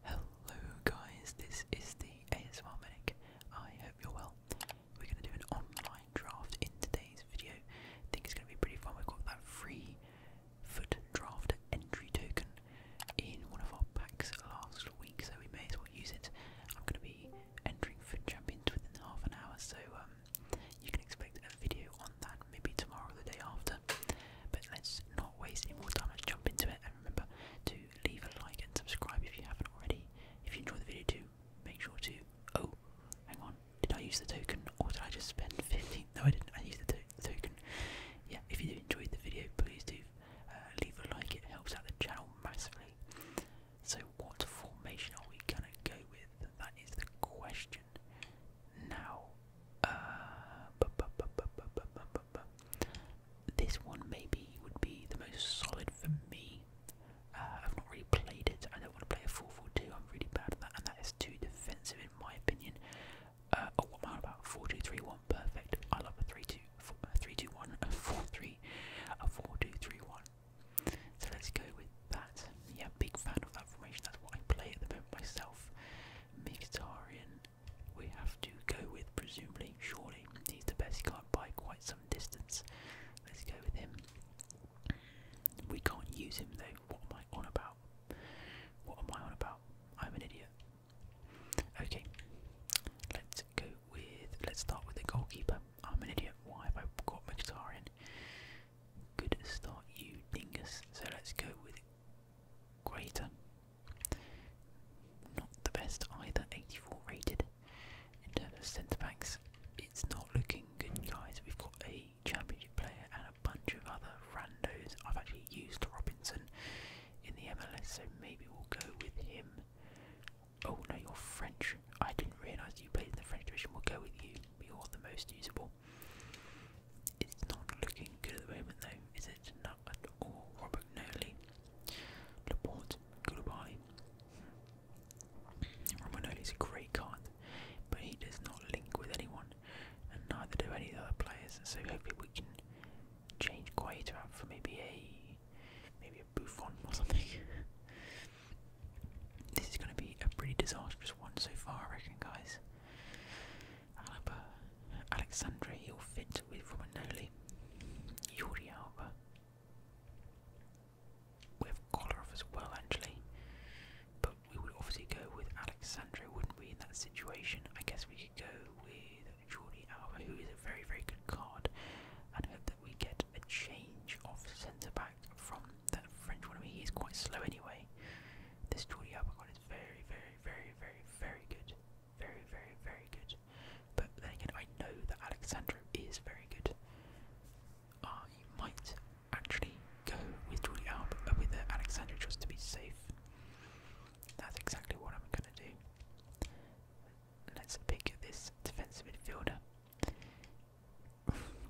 Hello guys, this is the ASMR Medic. I hope you're well. We're going to do an online draft in today's video. I think it's going to be pretty fun. We've got that free foot draft entry token in one of our packs last week, so we may as well use it. I'm going to be entering foot champions within half an hour, so um, you can expect a video on that maybe tomorrow or the day after. But let's not not waste any more time, let's jump into it. And remember to leave a like and subscribe if you haven't already. If you enjoy the video too, make sure to. Oh, hang on. Did I use the token or did I just spend 15? No, I didn't. I used the to token. Yeah, if you enjoy the video, please do uh, leave a like. It helps out the channel massively. So, what formation are we gonna go with? That is the question. Now, uh, this one maybe would be the most solid for me. Uh, I've not really played it. I don't want to play a 4-4-2. I'm really bad at that, and that is too defensive in my opinion. Uh, oh, what about? 4-2-3-1, perfect. I love a 3 2 one a 4-3, a 4-2-3-1. So let's go with that. Yeah, big fan of that formation. That's what I play at the moment myself. Mkhitaryan, we have to go with presumably, surely. He's the best card by quite some distance. Let's go with him. We can't use him though. What am I on about? What am I on about? I'm an idiot. Okay, let's go with. Let's start with the goalkeeper. I'm an idiot. Why have I got Mkhitaryan? Good start, you dingus. So let's go with Greater. Not the best either, 84 rated. In centre backs, it's not looking good, guys. We've got a championship player and a bunch of other randos. I've actually used Robinson in the MLS, so maybe we'll go with him. Oh no, you're French. I didn't realise you played in the French division. We'll go with you. You're the most usable. It's not looking good at the moment, though, is it? Not at all. Robert Noley, Laporte, Goodbye. Robert Noley's a great card, but he does not link with anyone, and neither do any other players. So hopefully we can change Guaita out for maybe a maybe a Buffon or something. this is going to be a pretty disastrous one so far, I reckon, guys. Alaba, you'll fit with Romanoli, Jordi Alba. We have Kolarov as well actually, but we would obviously go with Alexandra, wouldn't we, in that situation? I guess we could go with Jordi Alba, who is a very, very good card, and hope that we get a change of centre back from that French one. I mean, he is quite slow anyway. This Jordi Alba card is very, very, very, very, very, good. Very, very, very good. But then again, I know that Alexandro is very good. I uh, might actually go with Jordi Alba, uh, with uh, just to be safe. That's exactly what I'm going to do. Let's pick this defensive midfielder.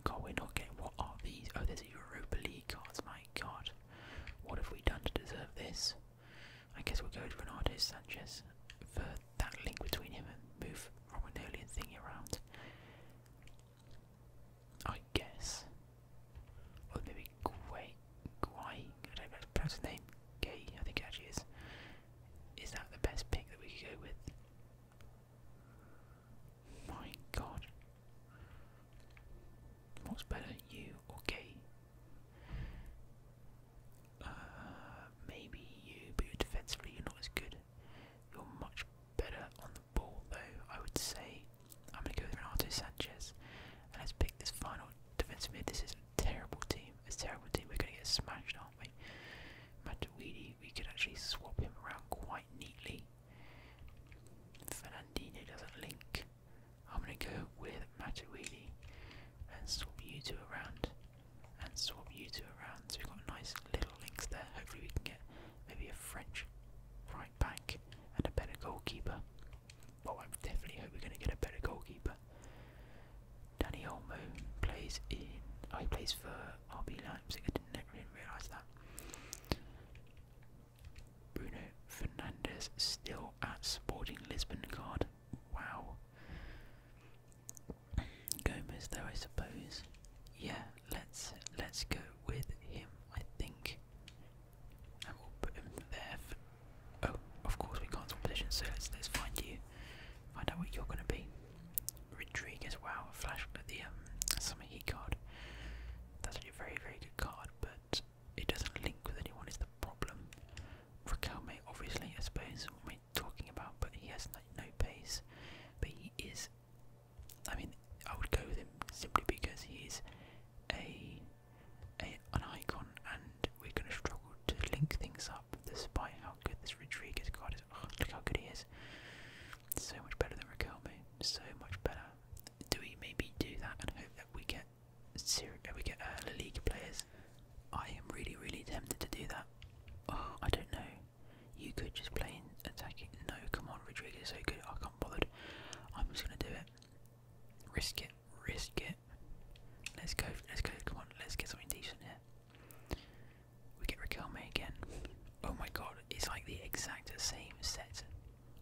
God, we not getting. What are these? Oh, there's a Europa League cards. My God. What have we done to deserve this? I guess we'll go with Renato Sanchez for that link between him and move from an Romanolian thing around. I guess. Or maybe Guay Guay, I don't know how name. Gay, I think it actually is. Is that the best pick that we could go with? My god. What's better, you or gay? Uh, maybe you, but defensively you're not as good. You're much better on the ball, though. I would say I'm going to go with Renato Sanchez, and let's pick this final defensive mid. This is a terrible team. It's a terrible team. We're going to get smashed, aren't we? Matuidi, we can actually swap him around quite neatly. Fernandinho doesn't link. I'm gonna go with Matuidi and swap you two around and swap you two around. So we've got nice little links there. Hopefully we can get maybe a French right back and a better goalkeeper. Oh, I definitely hope we're gonna get a better goalkeeper. Danny Olmo plays in oh he plays for RB Leipzig, I didn't even realise that. Bruno Fernandes still at Sporting Lisbon card. Wow. Gomez though I suppose. Yeah, let's let's go with him, I think. And we'll put him there oh, of course we can't swap positions, so let's let's find you. Find out what you're gonna be. Rodriguez, wow, a flash of the um summer he card. That's a very, very good card, but it doesn't link with anyone is the problem. Raquelme, obviously, I suppose, we're talking about, but he has no pace. But he is, I mean, I would go with him simply because he is a, a an icon, and we're going to struggle to link things up despite how good this Rodriguez card is. Oh, look how good he is! So much better than Raquelme, so much better. Do we maybe do that and hope that we get if uh, we get uh, La Liga players. I am really, really tempted to do that. Oh, I don't know. You could just play in attacking. No, come on, Rodriguez is so good. I can't bother. I'm just gonna do it. Risk it. Risk it. Let's go. Let's go. Come on. Let's get something decent here. We get Raquel again. Oh my god, it's like the exact same set.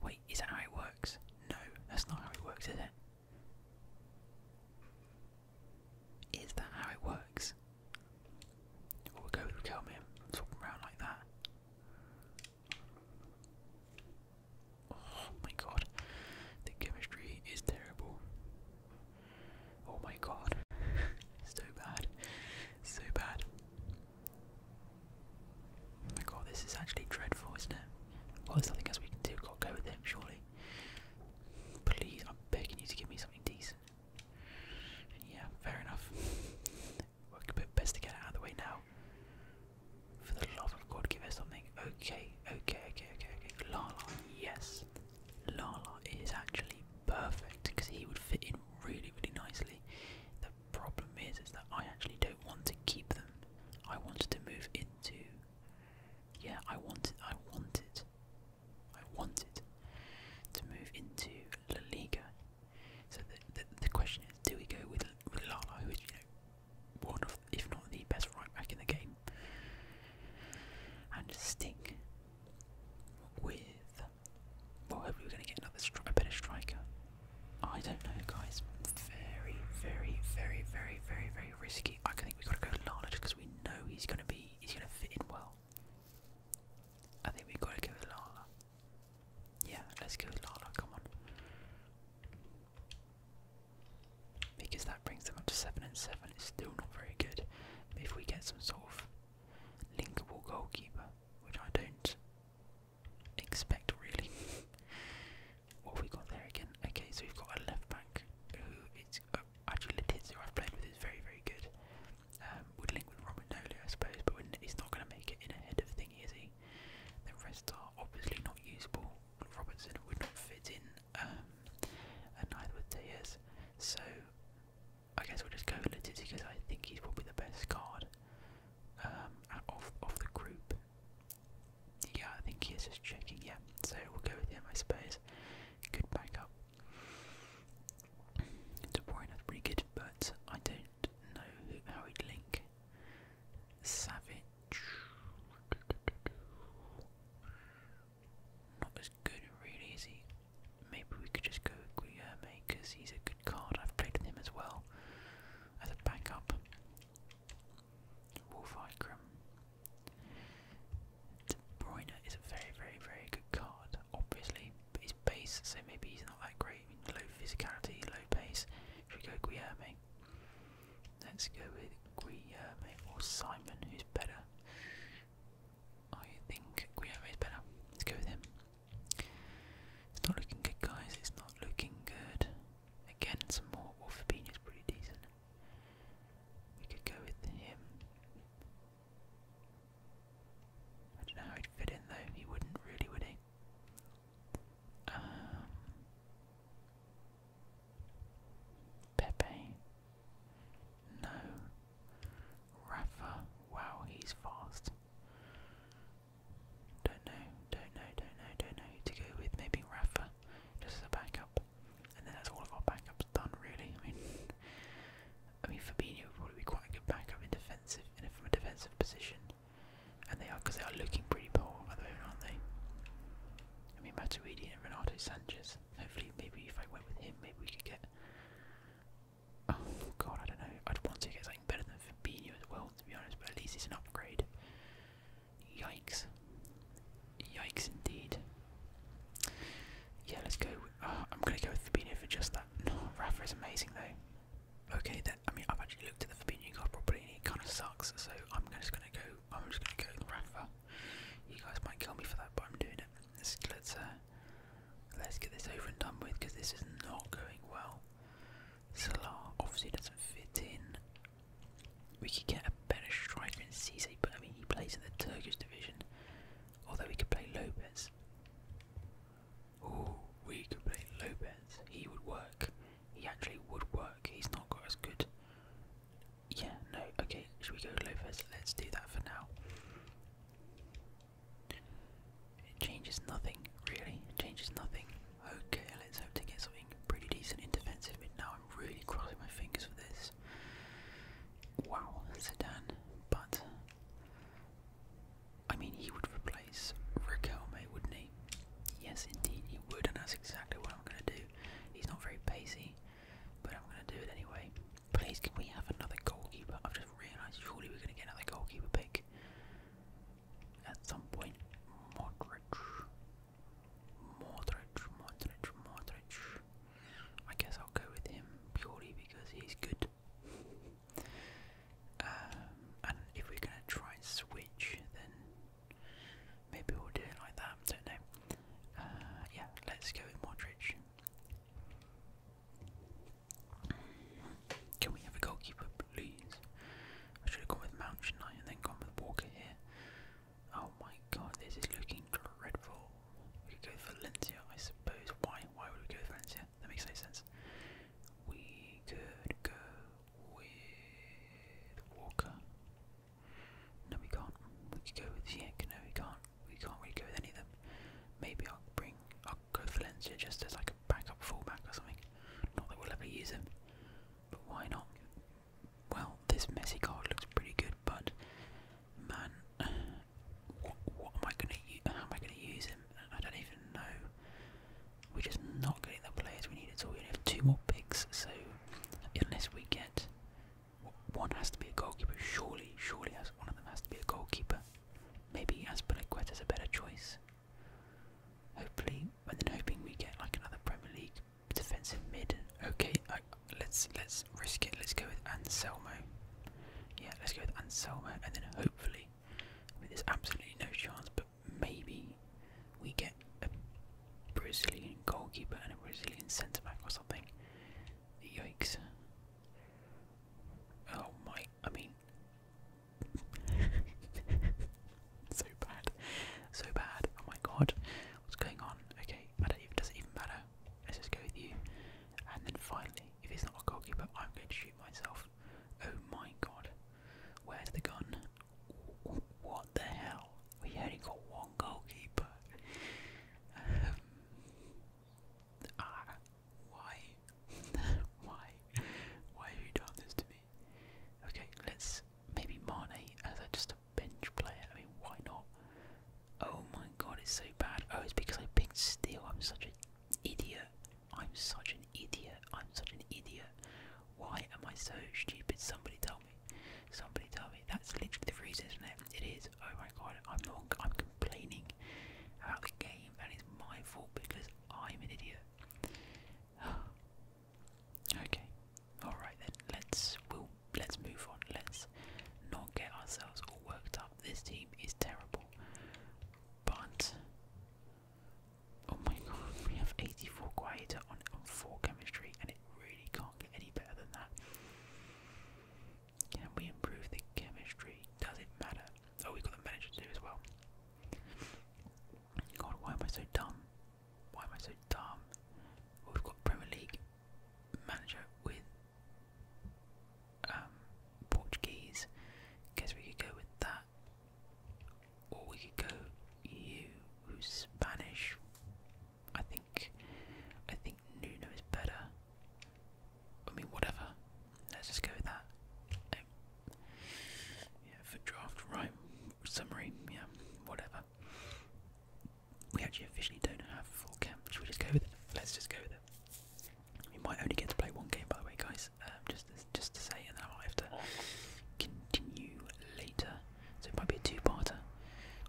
Wait, is that how it works? No, that's not how it works, is it? Is that how it works? Or we'll go with Kelman, swap him around like that. Oh my god, the chemistry is terrible. Oh my god, so bad, so bad. Oh my god, this is actually dreadful, isn't it? Well, there's nothing else we can do. got to go with him, surely. Please, I'm begging you to give me something decent. Yeah, fair enough. Work a bit best to get out of the way now. For the love of God, give us something. Okay, okay, okay, okay, okay. La la, yes. la is actually perfect because he would fit in really, really nicely. The problem is is that I actually don't want to keep them. I wanted to move into yeah, I wanted I wanted I wanted to move into La Liga. So the, the, question is, do we go with with Lala, who is you know one of, if not the best right back in the game, and stick with? Well, hopefully we're going to get another a better striker. I don't know, guys. Very, very, very, very, very, very risky. I think we gotta go Lala just because we know he's gonna be he's gonna fit in well. I think we gotta go with Lala. Yeah, let's go with Lala. Come on, because that brings them up to seven and seven. It's still not very good. if we get some sort of linkable goalkeeper, which I don't expect, really. what have we got there again? Okay, so we've got a left back who it's uh, actually actually who I've played with is very, very good. Um, would link with Romanoli, I suppose, but he's not going to make it in ahead of thingy, is he? The rest are obviously not usable. Robertson would not fit in, um, and neither would Tejas. So I guess we'll just go with Letizia because I think he's probably the best card um, off of the group. Yeah, I think he is just checking. Yeah, so we'll go with him, I suppose. Good backup. De Bruyne is pretty good, but I don't know how he'd link. Savage. Not as good, really, is he? Maybe we could just go with Guillermo because he's a good card. I've played with him as well as a backup. Wolf Ikram. De Bruyne is a very, very, very good card, obviously, but his base, so maybe he's not that great. low physicality, low pace. Should we go Guillerme? Let's go with Guillerme or Simon, who's better. I think Guillerme is better. Let's go with him. It's not looking good, guys. It's not looking good. Again, some more. Well, is pretty decent. We could go with him. I don't know how he'd fit in, though. He wouldn't really, would he? Um, Pepe. No. Rafa. Wow, he's fast. Don't know, don't know, don't know, don't know to go with. Maybe Rafa, just as a backup. And then that's all of our backups done, really. I mean, I mean, Fabinho would probably be quite a good backup in defensive, in a, from a defensive position. And they are, because they are looking pretty poor aren't they? I mean, Matuidi and Renato Sanchez. Hopefully, maybe if I went with him, maybe we could get. Oh God, I don't know. I'd want to get better than Fabinho as well, to be honest, but at least it's an upgrade. Yikes. Yikes indeed. Yeah, let's go. Uh, I'm going to go with Fabinho for just that. No, Rafa is amazing though. Okay, that, I mean, I've actually looked at the Fabinho card properly and it kind of sucks, so I'm just going to go, I'm just going to go with Rafa. You guys might kill me for that, but I'm doing it. Let's, let's, uh, let's get this over and done with because this is not going well. Salah obviously doesn't fit in. We could get a better striker in Cisse, but I mean he plays in the Turkish division. Although we could play Lopez. Oh, we could play Lopez. He would work. He actually would work. He's not got as good. Yeah, no, okay, should we go Lopez? Let's do that for now. It changes nothing, really. It changes nothing. Okay, let's hope to get something pretty decent in defensive mid now. I'm really crossing my fingers for this. Wow, Sedan, but I mean, he would replace Riquelme, wouldn't he? Yes, indeed, he would, and that's exactly what I'm going to do. He's not very pacey, but I'm going to do it anyway. Please, can we have another goalkeeper? I've just realised surely we're going to get another goalkeeper pick at some point. Modric, Modric, Modric, Modric. I guess I'll go with him purely because he's good. Um, and if we're gonna try and switch, then maybe we'll do it like that. Don't know. Uh, yeah, let's go with Modric. Can we have a goalkeeper, please? I should have gone with Mount Knight and then gone with Walker here. Oh my god, this is looking dreadful. We could go with Valencia, I suppose. Why? Why would we go with Valencia? That makes no sense. We could go with Walker. No, we can't. We could go with Ziek. No, we can't. We can't really go with any of them. Maybe I'll bring. I'll go with Valencia just as like a backup fullback or something. Not that we'll ever use him, but why not? Well, this Messi card looks pretty good, but man, what, am I gonna? use him? I don't even know. We're just not getting the players we need So We only have two more picks, so unless we get one, has to be a goalkeeper. Surely, surely, has one of them has to be a goalkeeper. Maybe Aspilicueta is a better choice. Hopefully, and then hoping we get like another Premier League defensive mid. Okay, let's let's risk it. Let's go with Anselmo. Yeah, let's go with Anselmo, and then hopefully, I there's absolutely no chance, but maybe we get a Brazilian goalkeeper and a Brazilian centre back or something. Yikes! Oh my! I mean, so bad. So bad. Oh my god. What's going on? Okay, I don't even does it even matter? Let's just go with you. And then finally, if it's not a goalkeeper, I'm going to shoot myself. Oh my god. Where's the gun? What the hell? We only got one goalkeeper. Um, ah, why? why? Why have you done this to me? Okay, let's maybe Mane as a, just a bench player. I mean, why not? Oh my god, it's so bad. Oh, it's because I picked Steel. I'm such an idiot. I'm such an idiot. I'm such an idiot. Why am I so stupid? Somebody tell me. Somebody tell me. That's literally the reason, isn't it? It is. Oh my god, I'm not. I'm complaining about the game, and it's my fault because I'm an idiot. okay, all right then. Let's we'll let's move on. Let's not get ourselves all worked up. This team is terrible, but oh my god, we have 84 quieter on four chemistry, and it really can't get any better than that. Can we improve the chemistry? Does it matter? Oh, we got the manager to do as well. God, why am I so dumb? Why am I so dumb? we've got Premier League manager with um, Portuguese. Guess we could go with that, or we could go you, Spanish. I think, I think Nuno is better. I mean, whatever. Let's just go with that. Oh. Yeah, for draft, right? Summary, yeah, whatever. We actually officially don't have full camp. Should we just go with it? Let's just go with it. We might only get to play one game, by the way, guys. Um, just, just to say, and then I have to continue later. So it might be a two-parter.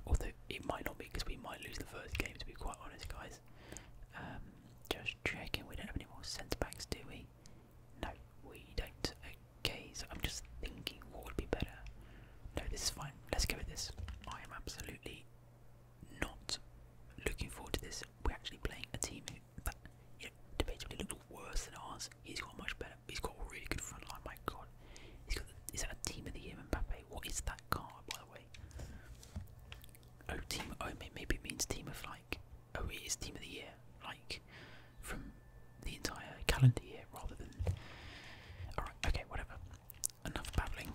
Although it might not be because we might lose the first game. To be quite honest, guys. Um, just checking. We don't have any more sense backs, do we? No, we don't. Okay, so I'm just thinking what would be better. No, this is fine. Let's go with this. I am absolutely not looking forward to this. We're actually playing a team that, you debatably looked worse than ours. He's got much better. He's got a really good front line. My God, he's got. is that a team of the year, Mbappe? What is that card, by the way? Oh, team. Oh, maybe it means team of like OE is team of the year, like from the entire calendar year rather than. Alright, okay, whatever. Enough babbling.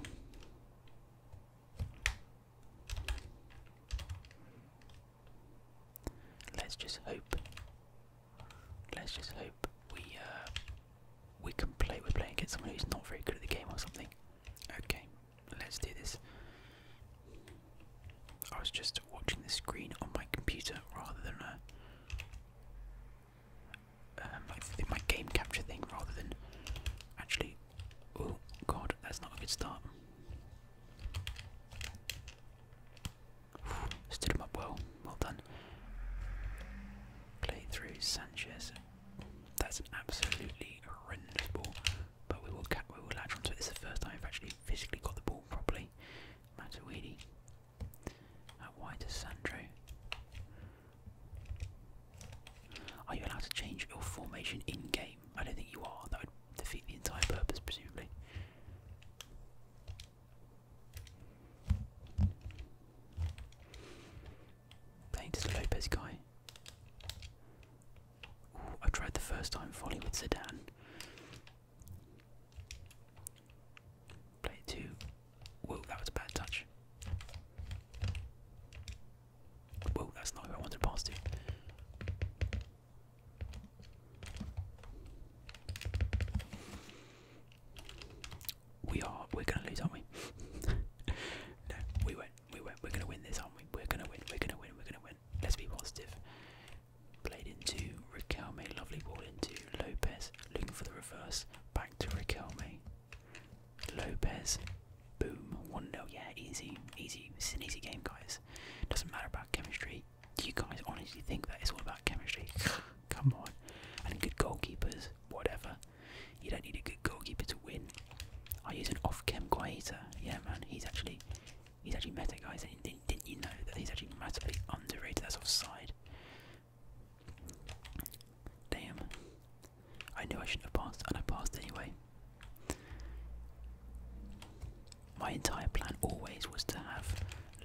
Let's just hope. Let's just hope we uh, we can play. We're playing against someone who's not very good at the game or something. Okay, Let's do this. I was just watching the screen on my computer rather than a. Um, my game capture thing rather than actually. Oh god, that's not a good start. Stood him up well. Well done. Play through Sanchez. That's absolutely horrendous but we will we will latch onto it. It's the first time I've actually physically got the ball properly. Matuidi. Out wide Sandro. Are you allowed to change your formation in game? I don't think you are. That would defeat the entire purpose, presumably. Playing Lopez guy. I tried the first time volley with Sedan. Play two. Whoa, that was a bad touch. Whoa, that's not who I wanted to pass to. We are. We're gonna lose, aren't we? no, we will we are gonna win this, aren't we? We're gonna win. We're gonna win. We're gonna win. Let's be positive. Played into Riquelme, lovely ball into Lopez, looking for the reverse. Back to Riquelme. Lopez, boom, one 0 Yeah, easy, easy. This is an easy game, guys. Doesn't matter about chemistry. Do you guys honestly think that it's all about chemistry? Come on. And good goalkeepers, whatever. You don't need a good goalkeeper to win. I use an off-chem Guaita. Yeah, man, he's actually He's actually meta, guys. And did didn't you know that he's actually massively underrated? That's offside. Damn. I knew I shouldn't have passed, and I passed anyway. My entire plan always was to have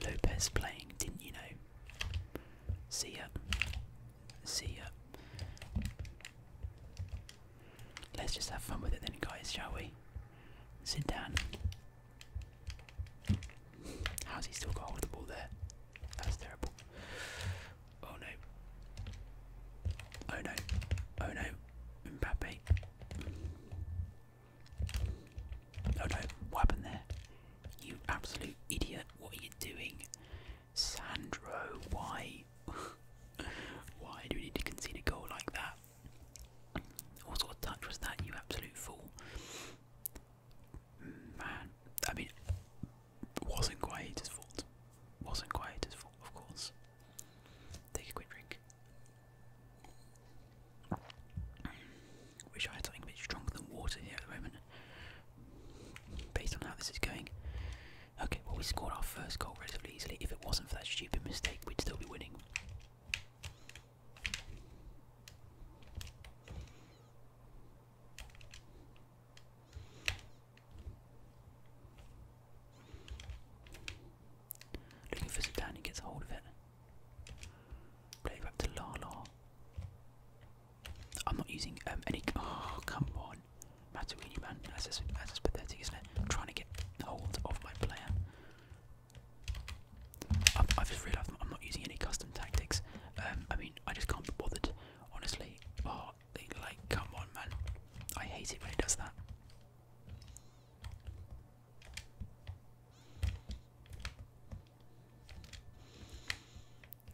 Lopez playing, didn't you know? See ya. See ya. Let's just have fun with it then, guys, shall we? Sit down. How's he still got hold of the ball there? That's terrible. Oh no. Oh no. Oh no. Mbappe. Oh no. What happened there? You absolute idiot. What are you doing? Sandro, why? why do we need to concede a goal like that? What sort of touch was that, you absolute fool? Man, I mean, wasn't Guaita's fault. Wasn't Guaita's fault, of course. Take a quick drink. Wish I had something a bit stronger than water here at the moment. Based on how this is going, Okay, well we scored our first goal relatively easily. If it wasn't for that stupid mistake, we'd still be winning. Looking for Zidane, he gets a hold of it. Play back to Lala. I'm not using um, any. Oh, come on. Matuini, man. That's just, pathetic, isn't it? I'm trying to get hold of my player. I've, I've just realised I'm not using any custom tactics. Um, I mean, I just can't be bothered, honestly. Oh, like, come on, man. I hate it when it does that.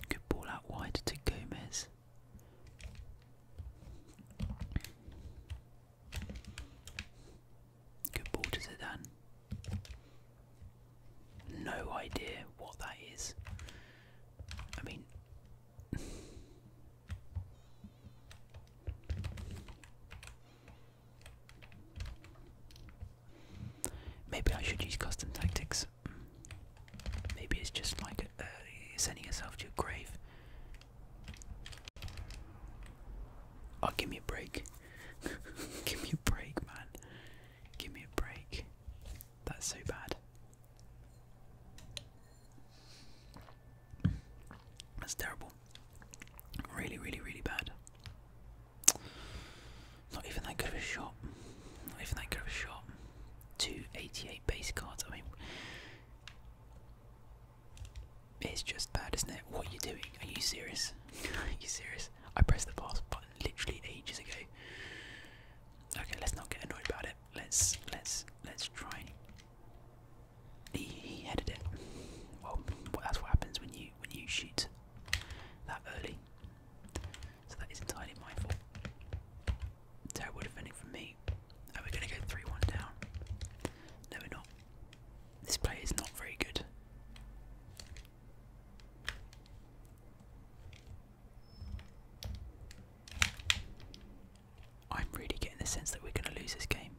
Good ball out wide to Gomez. Good ball to Zidane. No idea what that is. I mean. Maybe I should use custom tactics. Maybe it's just like uh, sending yourself to a grave. Oh, give me a break. give me a break, man. Give me a break. That's so bad. That's terrible. Really, really, really bad. Not even that good of a shot. Not even that good of a shot. 288 base cards. I mean, it's just bad, isn't it? What are you doing? Are you serious? are you serious? I pressed the fast button literally ages ago. Okay, let's not get annoyed about it. Let's let's let's try. He, he headed it. Well, that's what happens when you when you shoot that early. So that is entirely my fault. Terrible defending from me. Are we going to go 3 1 down? No, we're not. This play is not very good. I'm really getting the sense that we're going to lose this game.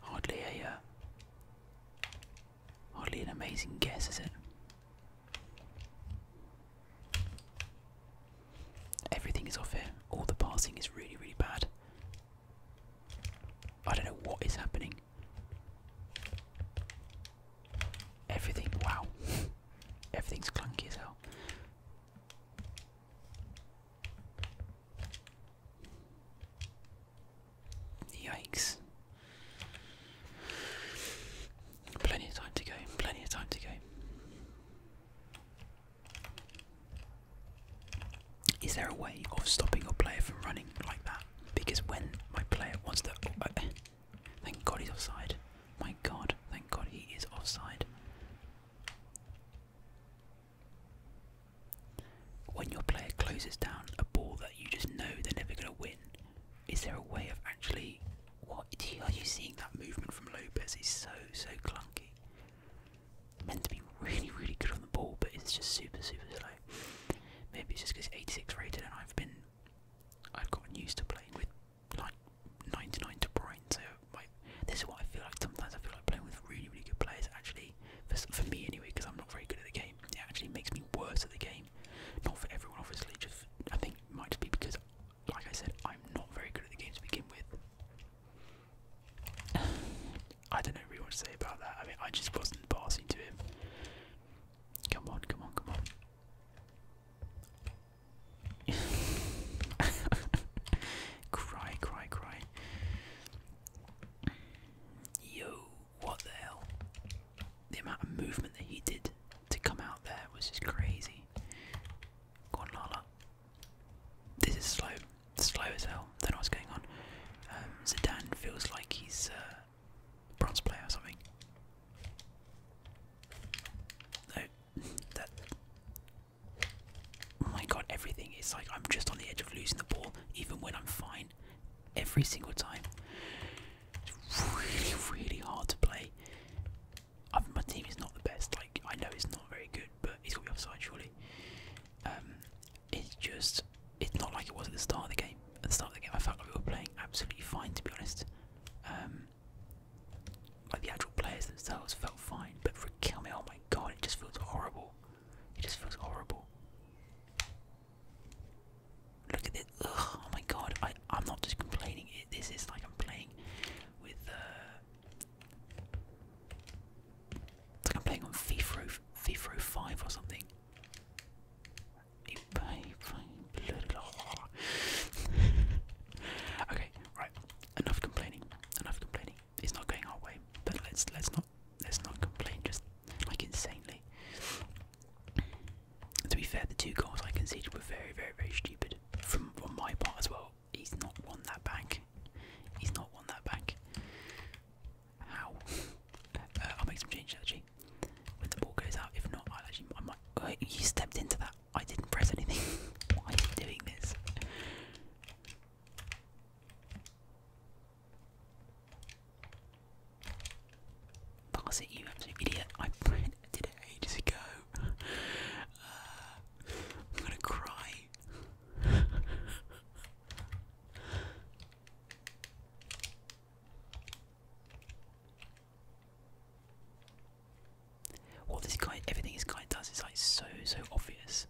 Hardly a, uh, hardly an amazing guess, is it? Everything is off here. All the passing is really, really bad. I don't know what is happening. Everything, wow. Everything's clunky as hell. Yikes. Plenty of time to go, plenty of time to go. Is there a way of stopping a player from running like that? Because when my player wants to. Oh, thank God he's offside. My God, thank God he is offside. When your player closes down a ball that you just know they're never going to win, is there a way of actually? What are you seeing? That movement from Lopez is so so clunky. Meant to be really really good on the ball, but it's just super super slow. Maybe it's just because 86 rated, and I've been I've gotten used to playing with like 99 to Bruyne. So my, this is what I feel like. Sometimes I feel like playing with really really good players. Actually, for, for me anyway, because I'm not very good at the game. It actually makes me worse at the game not for everyone, obviously. Just I think it might just be because, like I said, I'm not very good at the game to begin with. I don't know really what to say about that. I mean, I just wasn't passing to him. Come on, come on, come on. cry, cry, cry. Yo, what the hell? The amount of movement that he did to come out there was just crazy. Go This is slow, slow as hell. Then not know what's going on. Um, Zidane feels like he's uh, a bronze player or something. No, that. Oh my god, everything is like I'm just on the edge of losing the ball, even when I'm fine. Every single time. It's really, really hard to play. my team is not the best. Like I know it's not very good, but it's has got to be offside surely. Um, it's just it's not like it was at the start of the game. At the start of the game, I felt like we were playing absolutely fine, to be honest. Um, like the actual players themselves felt fine, but for kill me, oh my god, it just feels horrible. It just feels horrible. Look at this. oh my god. I, I'm not just complaining. this is like I'm playing with. Uh, like I'm playing on FIFA, FIFA 5 or something. okay, right. Enough complaining. Enough complaining. It's not going our way, but let's let's not let's not complain just like insanely. To be fair, the two goals I conceded were very, very, very stupid from from my part as well. He's not won that back. He's not won that back. How? Uh, uh, I'll make some changes actually. When the ball goes out, if not, I'll actually. I might. Uh, you stepped into that. I didn't press anything. Why are you doing this? Pass it, you absolute idiot. I did it ages ago. Uh, I'm gonna cry. what this guy, everything this guy does is like so, so obvious.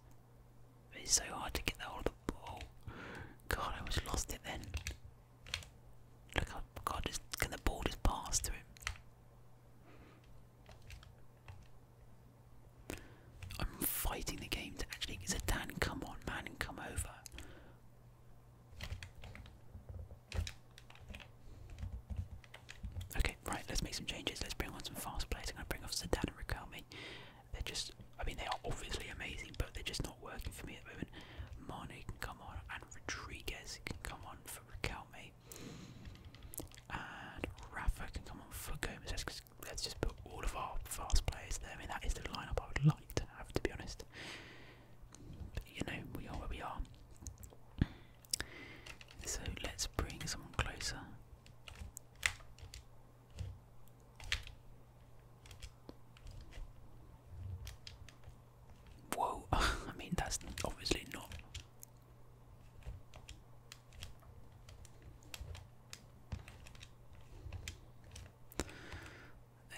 It's so hard to get the hold of the ball. God, I almost lost it then. Look how God is, can the ball just pass to him? I'm fighting the game to actually it's a Dan come on man come over. Okay, right, let's make some changes. Let's bring on some fast players. I'm gonna bring off Zidane and Raquelme. They're just I mean they are obviously amazing, but they're just not working for me at the moment. Mane can come on, and Rodriguez can come on for Recalme, and Rafa can come on for Gomez. Let's, just put all of our fast players there. I mean, that is the lineup I would like to have, to be honest. you know, we are where we are. So let's bring someone closer. Whoa, I mean, that's obviously not.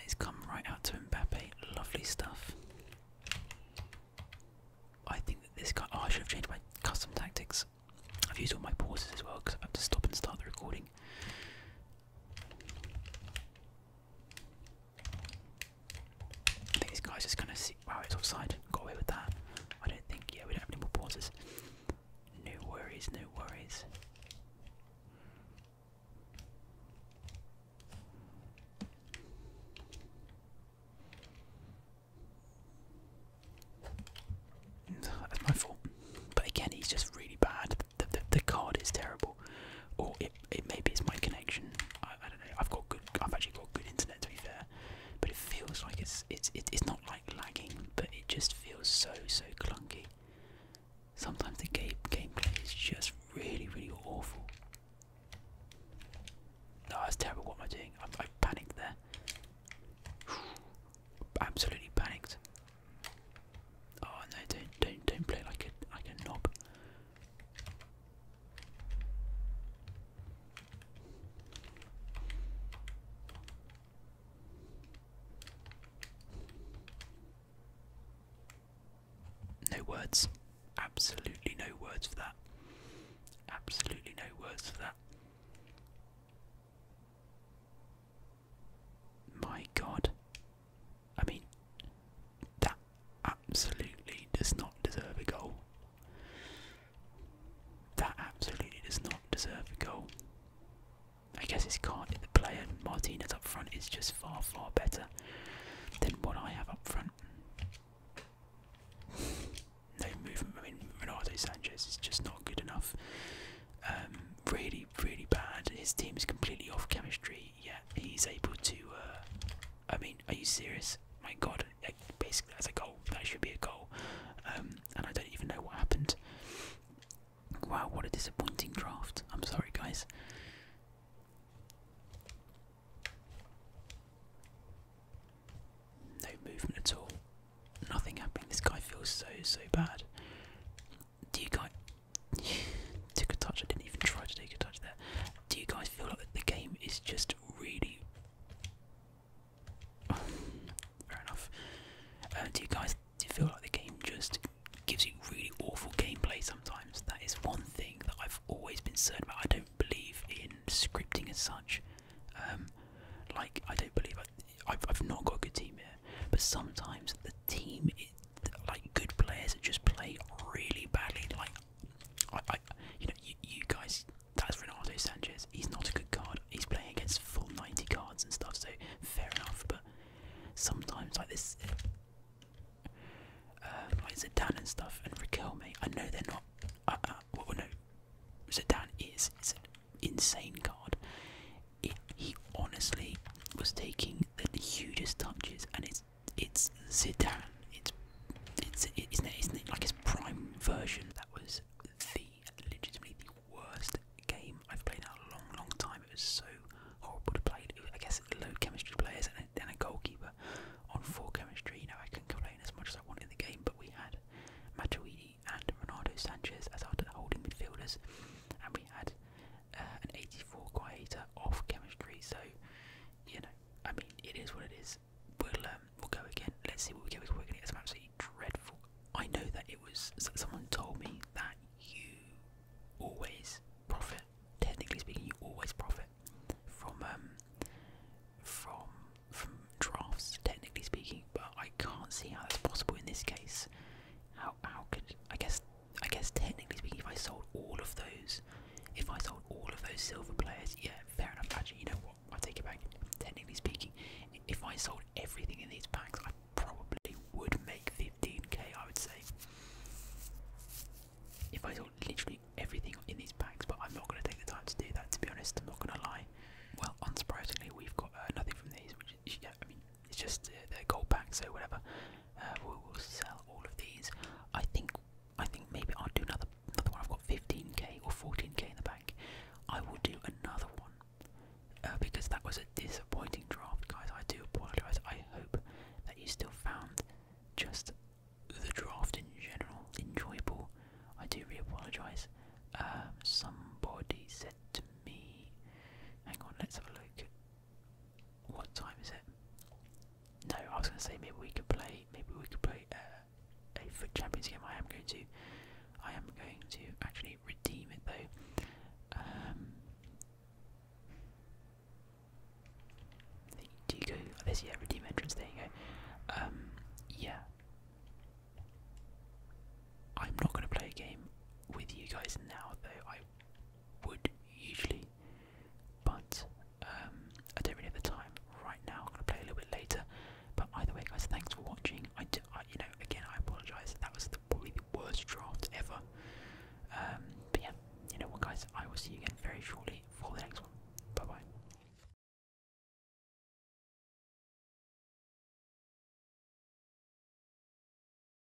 He's come right out to Mbappe. Lovely stuff. I think that this guy. Oh, I should have changed my custom tactics. I've used all my pauses as well because I've had to stop and start the recording. I think this guy's just gonna sit. Wow, it's offside. Got away with that. I don't think. Yeah, we don't have any more pauses. No worries, no worries. That's my fault. But again, he's just really bad the, the, card is terrible. Or it, it maybe it's my connection. I, I don't know. I've got good. I've actually got good internet to be fair, but it feels like it's it's it's not like lagging, but it just feels so so clunky. Sometimes the game gameplay is just really really awful. No, that's terrible. What am I doing? I, I panicked there. Absolutely panicked. Oh no! Don't don't don't play like a like a knob. No words. Absolutely no words for that. Absolutely no words for that. My God, I mean, that absolutely does not deserve a goal. That absolutely does not deserve a goal. I guess it's Cardiff, the player Martinez up front is just far, far better than what I have up front. No movement. I mean, Ronaldo Sanchez is just not good enough. Um, really really, bad. His team is completely off chemistry, Yeah, he's able to. Uh, I mean, are you serious? My God, like, basically that's a goal. That should be a goal, um, and I don't even know what happened. Wow, what a disappointing draft. I'm sorry, guys. No movement at all. Nothing happening. This guy feels so so bad do you guys? took a touch. I didn't even try to take a touch there. Do you guys feel like the game is just really? Fair enough. Uh, do you guys do you feel like the game just gives you really awful gameplay sometimes? That is one thing that I've always been certain about. I don't believe in scripting as such. Um, like I don't believe I, I've, not got a good team here, but sometimes the team like good players that just play really badly. Like, I, I you know, you, guys. That's Ronaldo Sanchez. He's not a good card. He's playing against full 90 cards and stuff. So fair enough. But sometimes like this, um, like Zidane and stuff and Raquel, mate. I know they're not. Uh, uh, well, no, Zidane is. It's an insane card. he honestly was taking the hugest touches, and it's it's Zidane. It's it's isn't it like his prime version? That was the legitimately the worst game I've played in a long, long time. It was so horrible to play. I guess low chemistry players and then a goalkeeper on full chemistry. You know, I can not complain as much as I want in the game, but we had Matuidi and Ronaldo Sanchez as our holding midfielders, and we had uh, an 84 quieter off chemistry. So, you know, I mean, it is what it is. We'll um, we'll go again. Let's see what we get. We're going to get some absolutely dreadful. I know that it was someone told me that you always profit. Technically speaking, you always profit from um, from from drafts. Technically speaking, but I can't see how that's possible in this case. How how could I guess I guess technically speaking, if I sold all of those, if I sold all of those silver players, yeah, fair enough. Actually, you know what? I take it back. Technically speaking, if I sold everything in these packs, I probably would make 15k. I would say. If I sold literally everything in these packs, but I'm not going to take the time to do that. To be honest, I'm not going to lie. Well, unsurprisingly, we've got uh, nothing from these, which is yeah. I mean, it's just uh, they're gold back, so whatever. Uh, we will sell all of these. I think I think maybe I'll do another another one. I've got 15k or 14k in the bank. I will do another one uh, because that was a disappointing draft, guys. I do apologise. I hope that you still found just the draft in general enjoyable. I do really apologise. Um, somebody said to me, hang on, let's have a look. What time is it? No, I was going to say maybe we could play. Maybe we could play uh, a foot champions game. I am going to. I am going to actually redeem it though. do um, you go? Oh, this yeah, redeem entrance. There you go. Um, yeah. I'm not going to play a game with you guys now, though. I would usually, but um, I don't really have the time right now. I'm gonna play a little bit later. But either way, guys, thanks for watching. I, do, I you know, again, I apologise. That was the, probably the worst draft ever. Um, but yeah, you know what, guys? I will see you again very shortly for the next one. Bye bye.